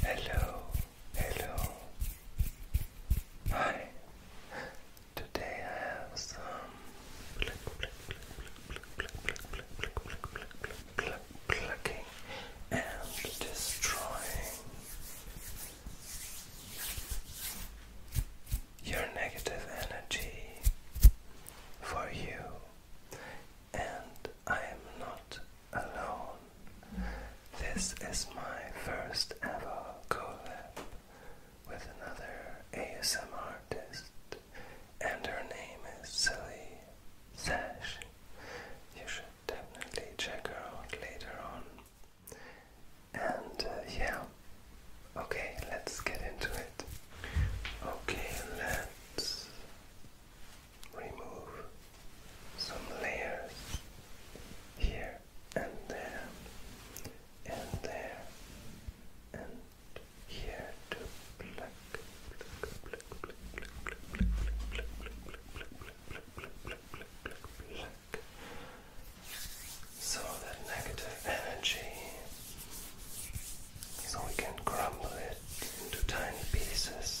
Hello, hello. Hi. Today I have some plucking and destroying your negative energy for you, and I am not alone. This is my first ever collab with another ASMR artist, and her name is Silly Sash. You should definitely check her out later on. And uh, yeah, okay, let's get into it. Okay, let's remove some layers here and there and there and here to pluck pluck pluck pluck pluck pluck pluck pluck pluck pluck pluck pluck so that negative energy so we can crumble it into tiny pieces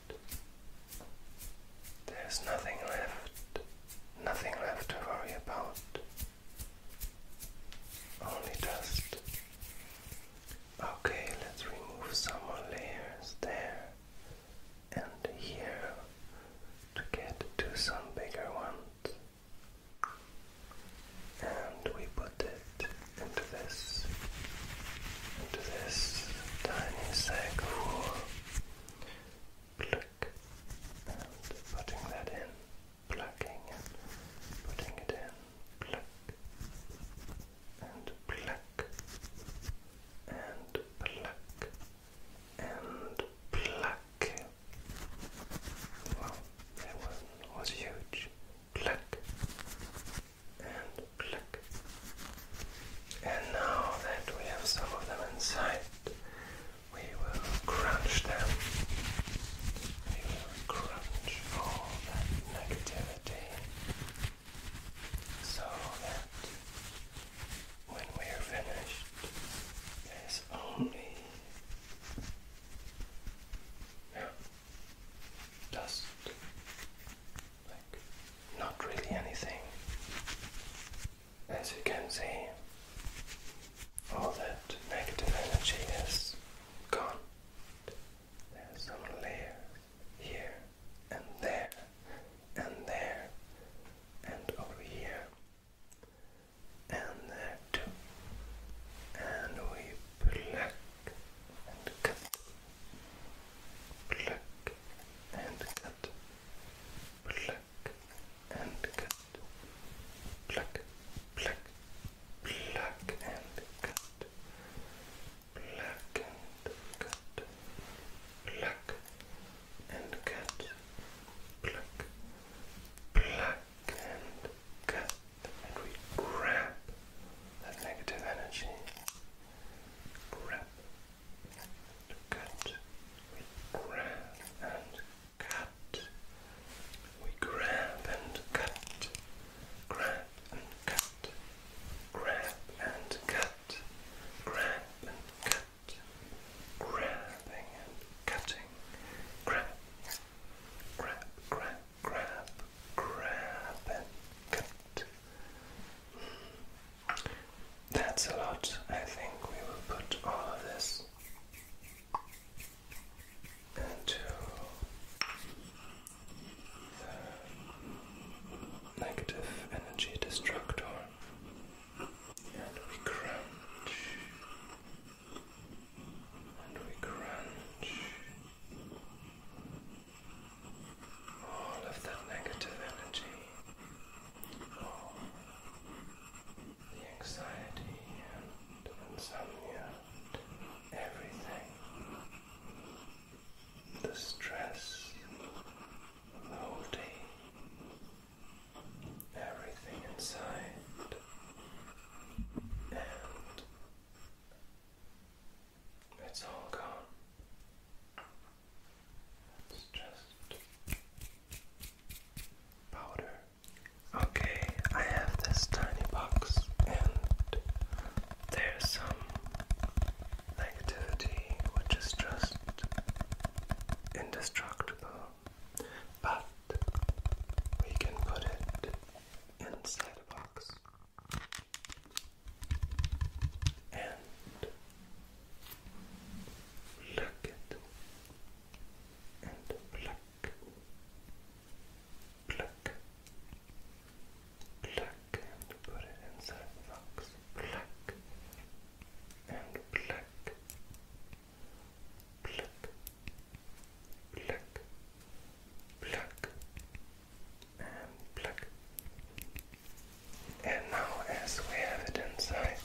there's nothing left, nothing left to worry about. Only dust. Okay, let's remove some more layers there and here to get to some bigger ones. And we put it into this, into this tiny sack Pluck and putting that in, plucking and putting it in, pluck and pluck and pluck and pluck. Well, that one was huge. Pluck and click. And now that we have some of them inside, we will crunch them. We will crunch all that negativity so that when we are finished, there's only just like not really anything. As you can see, all that negative energy is gone. There's some layer here and there and there and over here and there too. And we pluck and cut, pluck and cut, pluck and cut, pluck, pluck, pluck and cut, pluck and cut, pluck and cut, pluck, pluck and cut and we grab that negative energy. Grab. Cut. We grab and cut. We Grab and cut. Grab and cut. Grab and cut. Grabbing and cutting. Grab. Grab. Grab grab, grab, and cut. That's a lot. I think we will put all of this into the negative energy destructor and we crunch and we crunch all of that negative energy, all the anxiety and insomnia, everything, the stress of Everything inside and it's all gone. It's just powder. Okay, I have this tiny box, and there's some negativity which is just indestructible, but we can put it inside a box and pluck it and pluck pluck pluck and put it inside the box pluck and pluck pluck black, black, and black. And now, as we have it inside,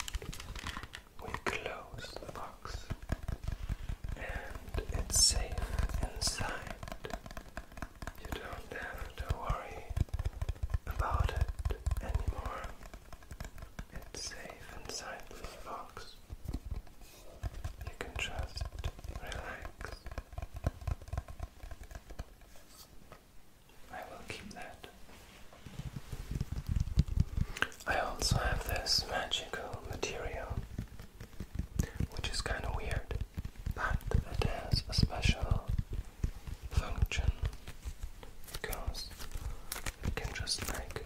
we close the box, and it's safe inside. You don't have to worry about it anymore. It's safe inside this box you can just relax. I will keep that. I also have this magical material, which is kind of weird, but it has a special function because it can just like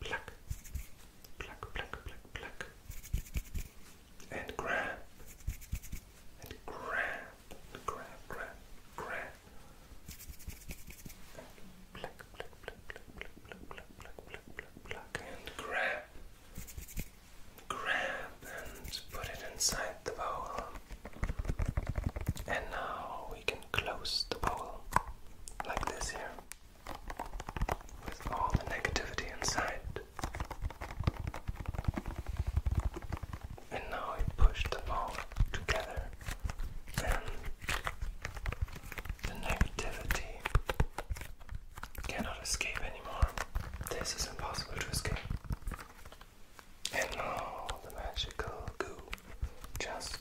pluck, pluck, pluck, pluck, pluck, and grab, and grab, grab, grab, grab, pluck, pluck, pluck, pluck, pluck, pluck, pluck, pluck, pluck, pluck, and grab, grab, and put it inside the bowl. And now we can close the bowl like this here with all the negativity inside. And now we push them all together, and the negativity cannot escape anymore. This is impossible to escape. And now the magical goo just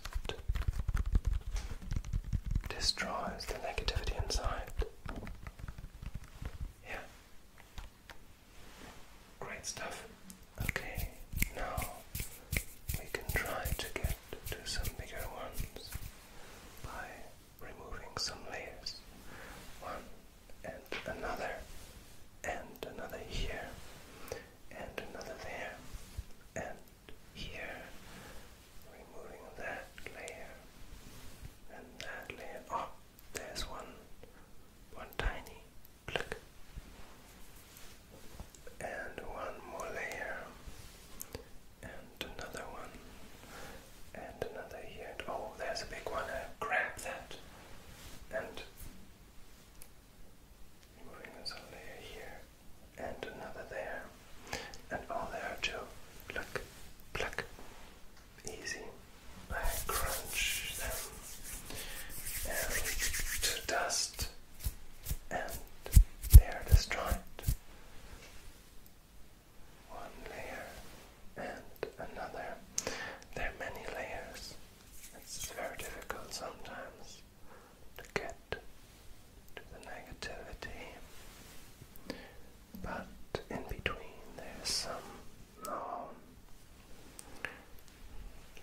destroys the negativity inside. Yeah. Great stuff. Okay, now we can try to get to some bigger ones by removing some layers. One and another, and another here, and another there, and here, removing that layer and that layer. Oh, there's one, one tiny click, and one more layer, and another one, and another here. Oh, there's a big one. grab that and moving this layer here and another there, and all there too. pluck, pluck, easy. I crunch them and to dust, and they are destroyed. One layer and another. There are many layers. It's very difficult sometimes to get to the negativity, but in between there's some. No, oh,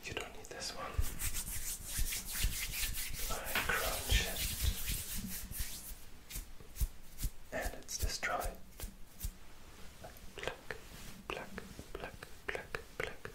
you don't need this one. I crunch it, and it's destroyed. Pluck, pluck, pluck, pluck, pluck,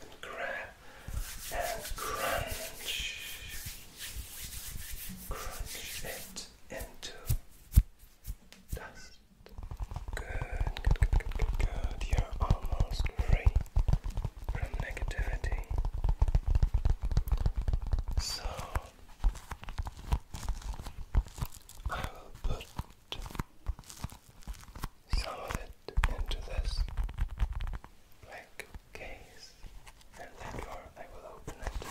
and grab and crunch. Crunch it into dust. Good, good, good, good, good, You're almost free from negativity. So I will put some of it into this black case, and therefore I will open it.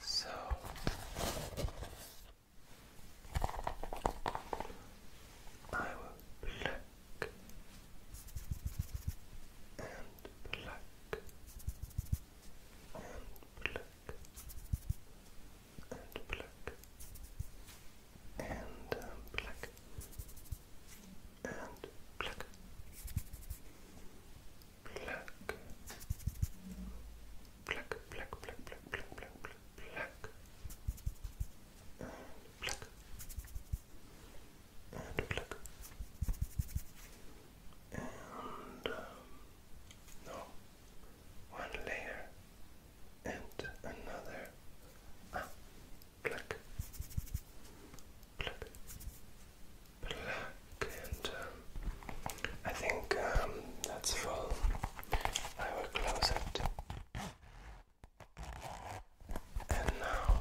So I will pluck and pluck and pluck and black and black and black black black black black black black black black and um, no, one layer and another. Ah, black, black, and um, I think um, that's full. I will close it. And now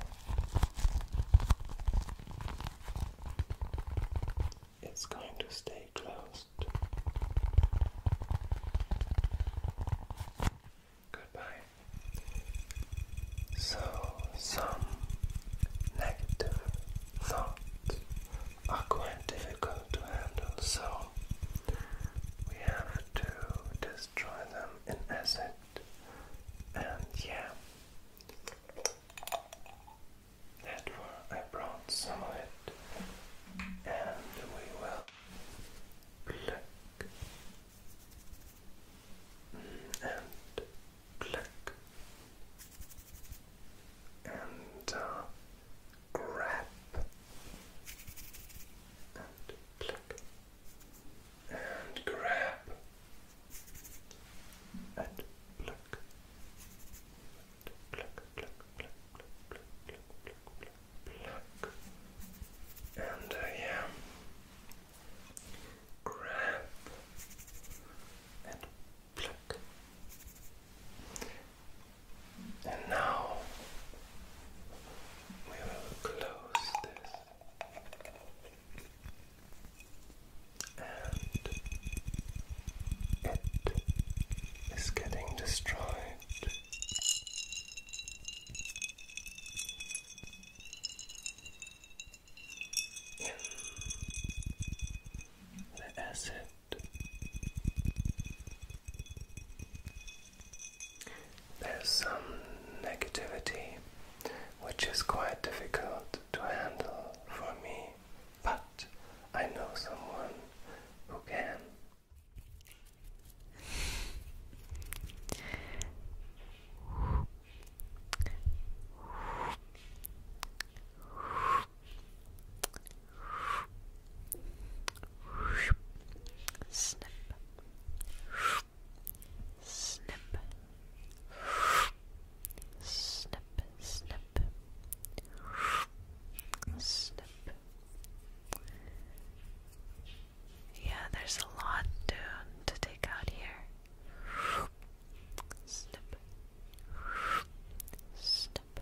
it's going to stay closed. Goodbye. So, some negative thoughts are quite difficult to handle, so we have to destroy them in acid. And yeah, that one, I brought some of it, and we will pluck mm, and pluck and uh, grab and pluck and grab and pluck, pluck, pluck, pluck, pluck, pluck, pluck, pluck, pluck, pluck. and I uh, grab and pluck. And now we will close this and it is getting destroyed. the acid there's some negativity which is quite difficult to handle for me but I know someone who can. Snip, snip, snip, snip, snip. Yeah, there's a lot to, to take out here. Snip, snip.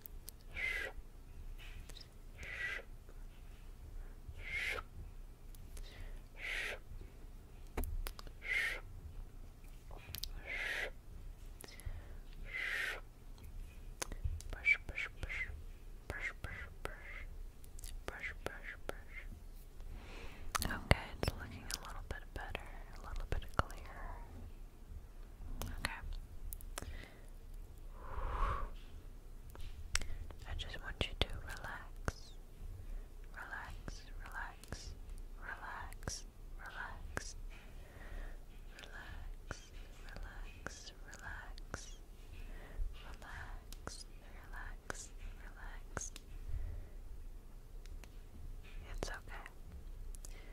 brush, brush, brush, brush, brush, brush, brush, brush, brush. Okay, it's looking a little bit better, a little bit clearer. Okay. I just want you to relax. Relax, relax, relax, relax. Relax, relax, relax. Relax, relax, relax. It's okay.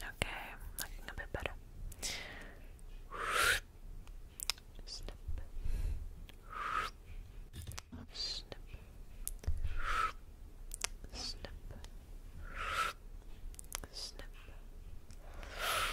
Okay, looking a bit better. Snip. Snip. Snip. Snip.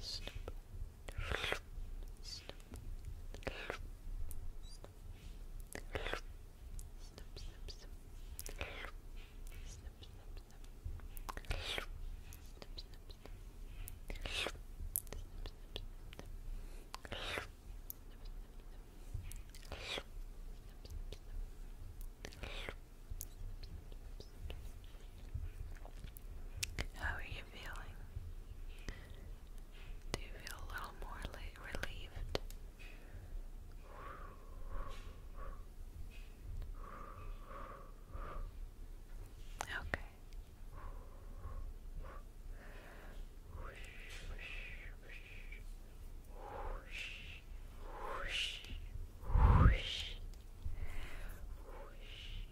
Stop. Stop. How are you you feeling? Do you feel a little more relieved? Okay.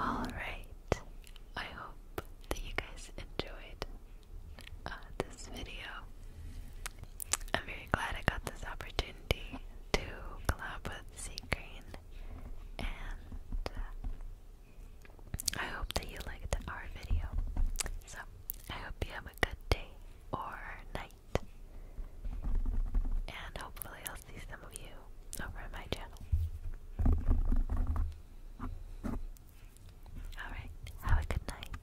All right. I hope that you guys enjoyed uh, this video. I'm very glad I got this opportunity to collab with Sea Green, and uh, I hope that you liked our video. So, I hope you have a good day or night. And hopefully, I'll see some of you over on my channel. Alright, have a good night.